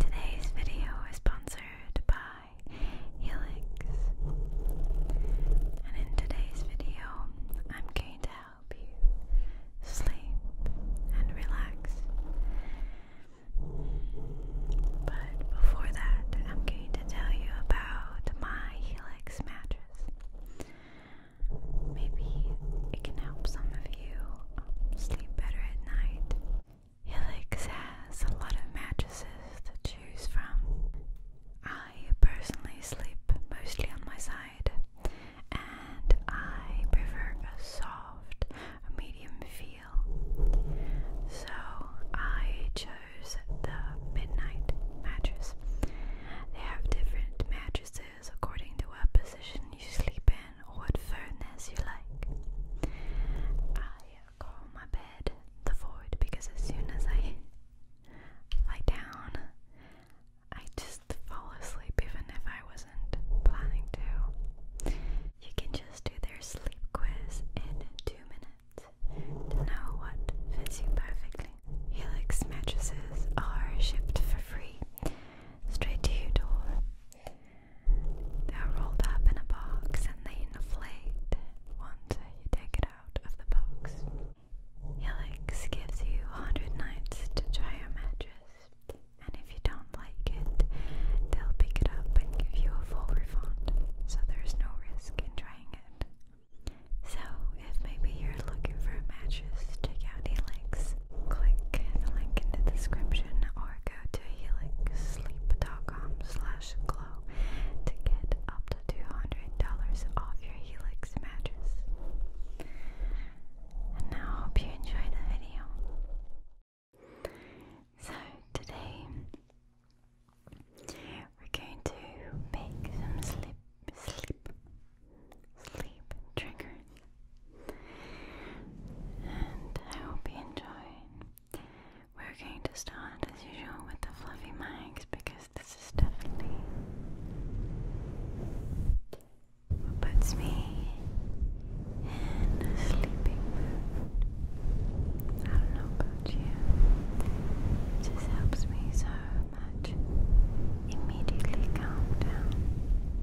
Today's video is sponsored by Helix. And in today's video, I'm going to help you sleep and relax. But before that, I'm going to tell you about my Helix mattress. Maybe it can help some of you um, sleep better at night. Helix has a lot of mattresses to choose from. I personally sleep mostly on my side, and I prefer a soft, medium feel. So I chose the midnight mattress. They have different mattresses according to what position you sleep in what firmness you like. I call my bed the void because as soon as I lie down, I just fall asleep even if I wasn't planning to. You can just do their sleep quiz in two minutes to know what fits you perfectly. Helix mattresses are shipped for free straight to your door. They're rolled up in a box and they inflate once you take it out of the box. Helix gives you 100 nights to try your mattress, and if you don't like it, they'll pick it up and give you a full refund, so there's no risk in trying it. So, if maybe you're looking for a mattress, check out Helix click the link in the description or go to helixsleep.com glow to get up to $200 off your Helix mattress. And now hope you enjoyed the video. So today we're going to make some sleep, sleep, sleep triggers. And I hope you enjoy. We're going to start as usual with the fluffy mics because this is definitely what puts me in a sleeping mood. I don't know about you. It just helps me so much immediately calm down.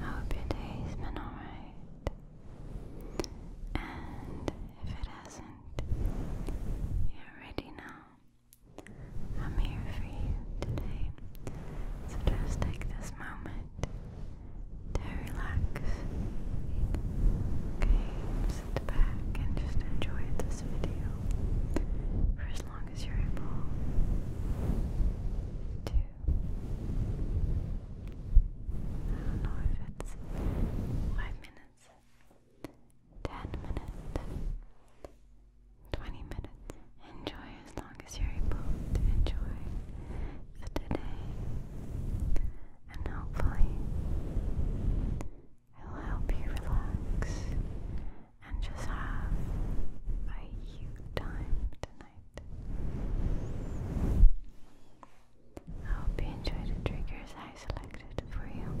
I hope your day's been alright. And if it hasn't, you're ready I'm here for you today. So just take this moment to relax. Okay, sit back and just enjoy this video for as long as you're able to I don't know if it's five minutes, ten minutes, twenty minutes. Enjoy as long as you're able to enjoy today, and hopefully, it will help you relax and just have a huge time tonight. I hope you enjoy the triggers I selected for you.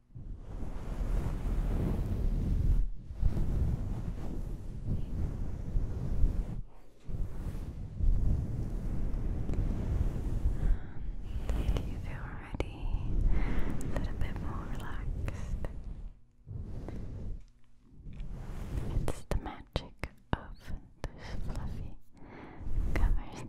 Do you feel ready? A little bit more relaxed. It's the magic of this fluffy covers.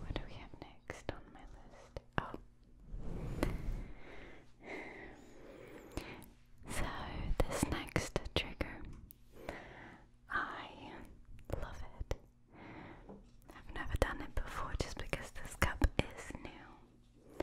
What do we have next on my list? Oh. So, this next trigger, I love it. I've never done it before just because this cup is new.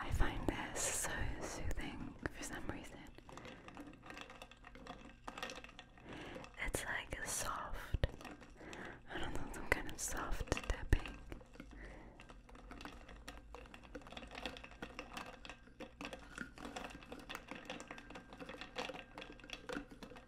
I find this so soothing for some reason. It's like soft. I don't know, some kind of soft tapping.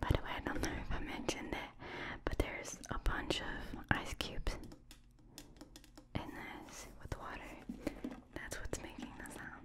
By the way, I don't know if I mentioned it, but there's a bunch of ice cubes in this with water. That's what's making the sound.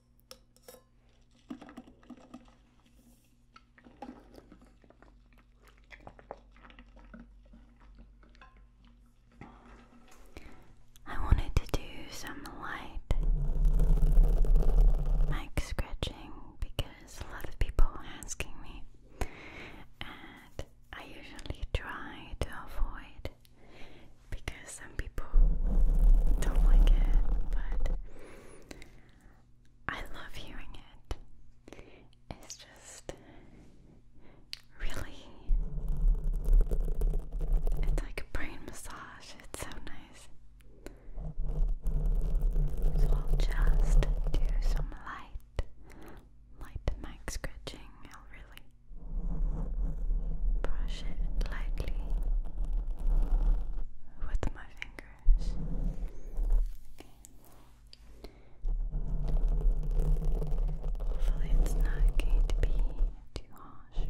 I wanted to do some light mic scratching because a lot of people asking me, and I usually try to avoid because some people don't like it, but I love hearing it. It's just really, it's like a brain massage, it's so nice. So I'll just do some light, light mic scratching, I'll really. Brush it lightly with my fingers. Hopefully, it's not going to be too harsh.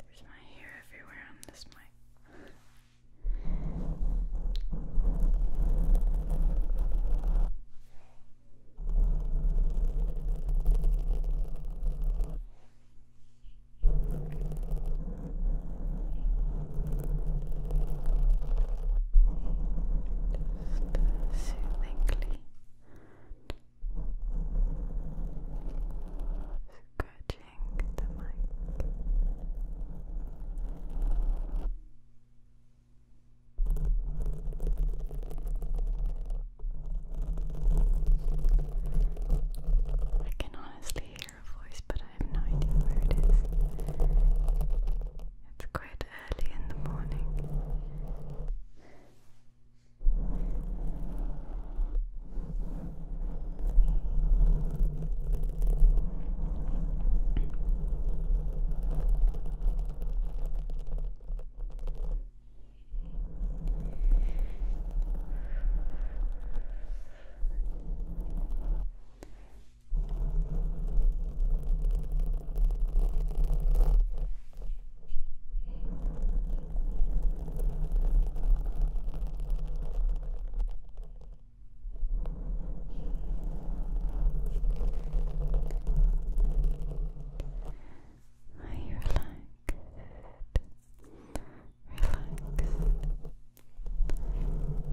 There's my hair everywhere on this mic. Just soothingly Scratching the mic. I can honestly hear a voice, but I have no idea where it is. It's quite early in the morning. Are you relaxed? Relaxed.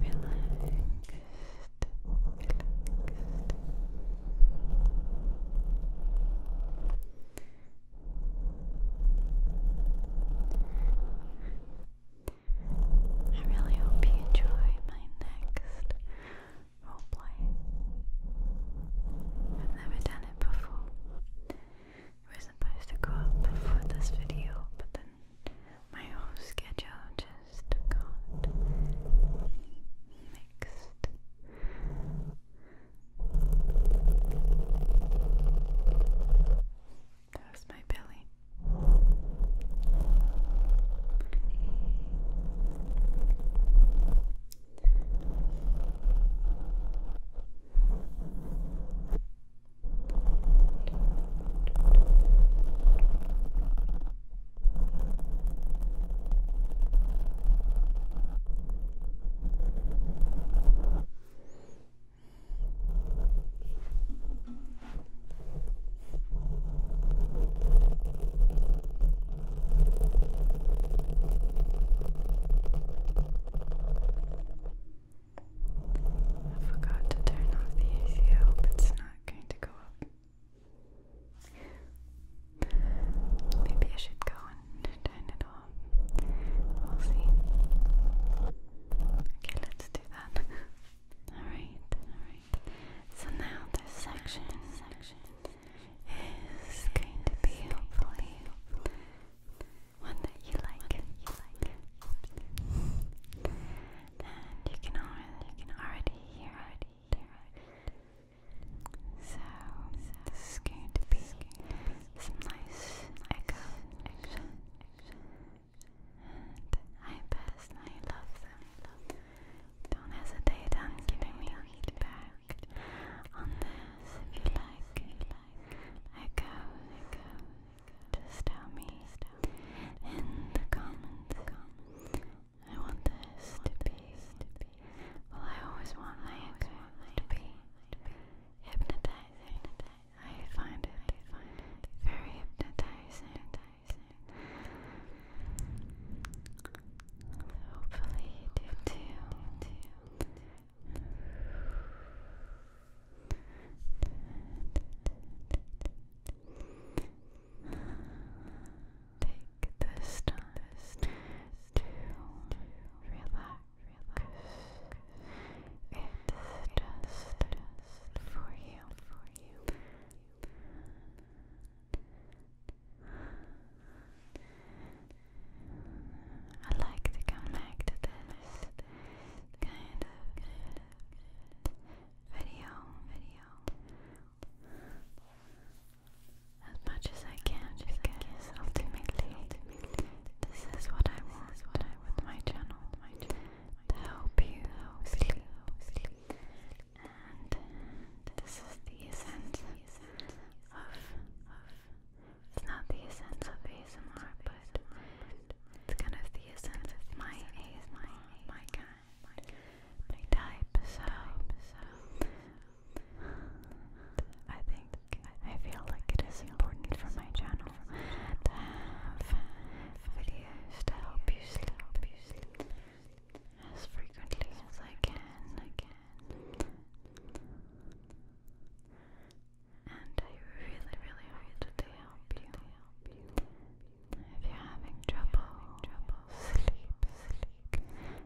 Relaxed. Relaxed. I really hope you enjoy my next roleplay. I've never done it before. We supposed to go up before this video, but then my whole schedule just got mixed. That was my belly. I forgot to turn off the ACO, but it's not going to go up. Maybe I should go and turn it off. We'll see. Okay, let's do that. Alright, alright. So now this section, section is going to be hopefully one that you like. And you can already, you can already hear it. So, this is going to be some nice echo I love them. Don't hesitate on giving me feedback on this if you like. Echo, echo. tell me in the comments. I want this to be, well I always want my echoes to be hypnotizing. I find it very hypnotizing. Hopefully you do too. Relax. Take this time to relax. It's just for you. I like to come back this kind of video as much as I can because ultimately this is what I want with my channel to help you and this is the essence of, it's not the essence of ASMR but it's kind of the essence of my ASMR, my kind, my type so I think I feel like it is important for my channel to have videos to help you sleep as frequently as I can. I can. And I really, really hope that they help you. If you're having trouble, sleep,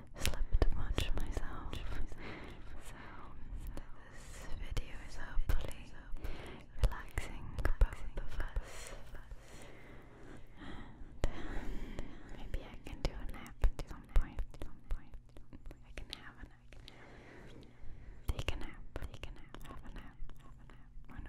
slept much myself. So this video is hopefully relaxing for us. maybe I can do a nap at some point. I can have a nap. Take a nap. Have a nap. Have a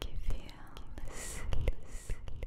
make you feel sleepy, sleepy,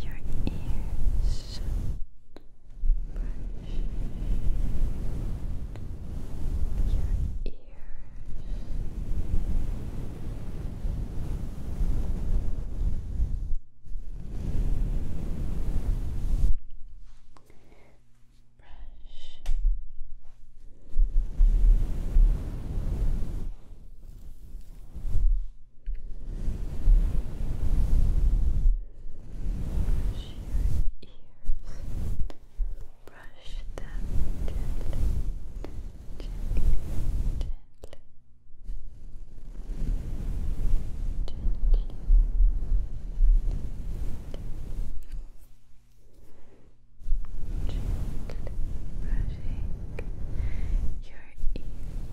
your ears, brush your ears. Brush your ears, brush them gently, gently, gently. Gently brushing your ears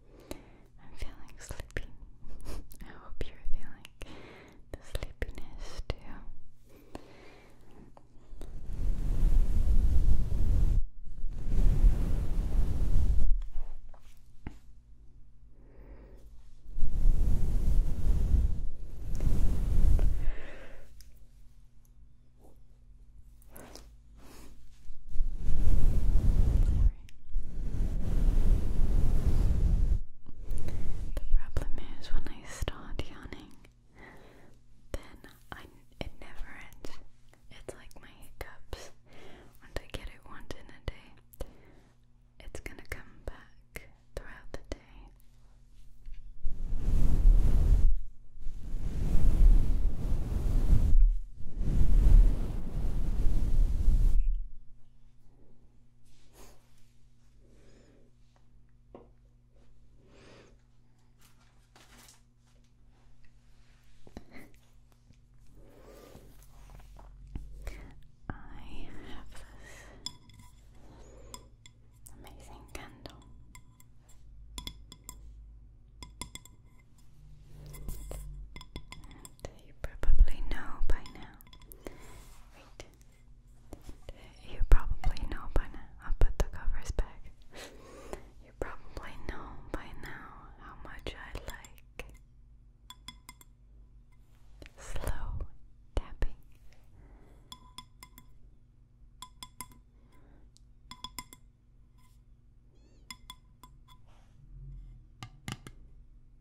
I'm feeling sleepy. I hope you're feeling the sleepiness too. The problem is when I start yawning, then I it never ends. It's like my hiccups. Once I get it once in a day, it's gonna come back throughout the day. I have this amazing candle you probably know by now. Wait, you probably know by now. I'll put the covers back. you probably know by now how much I like slow tapping. Slow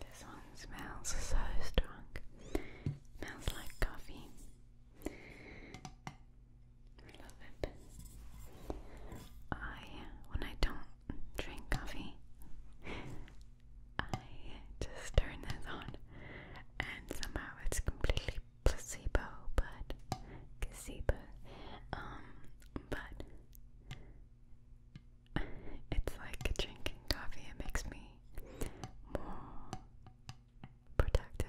This one smells so strong. smells like coffee. I love it. I, when I don't drink coffee, I just turn this on and somehow it's completely placebo, but gazebo. Um, but it's like drinking coffee, it makes me more protective.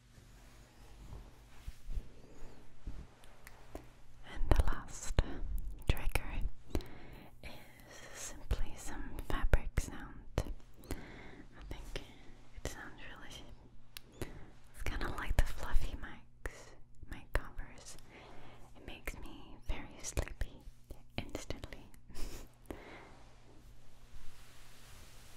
And the last trigger is simply some fabric sound. I think it sounds really. It's kind of like the fluffy mics, mic covers. It makes me very sleepy instantly.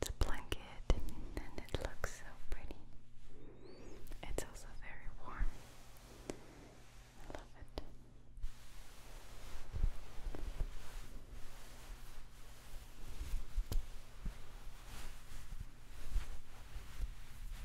It's a blanket and it looks so pretty. It's also very warm. I love it.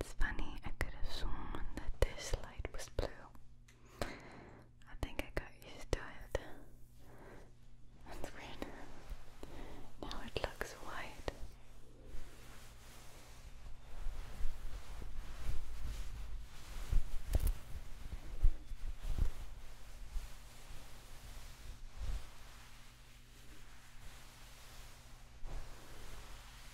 It's funny, I could have sworn that this light was blue. I think I got used to That's weird. Now it looks white.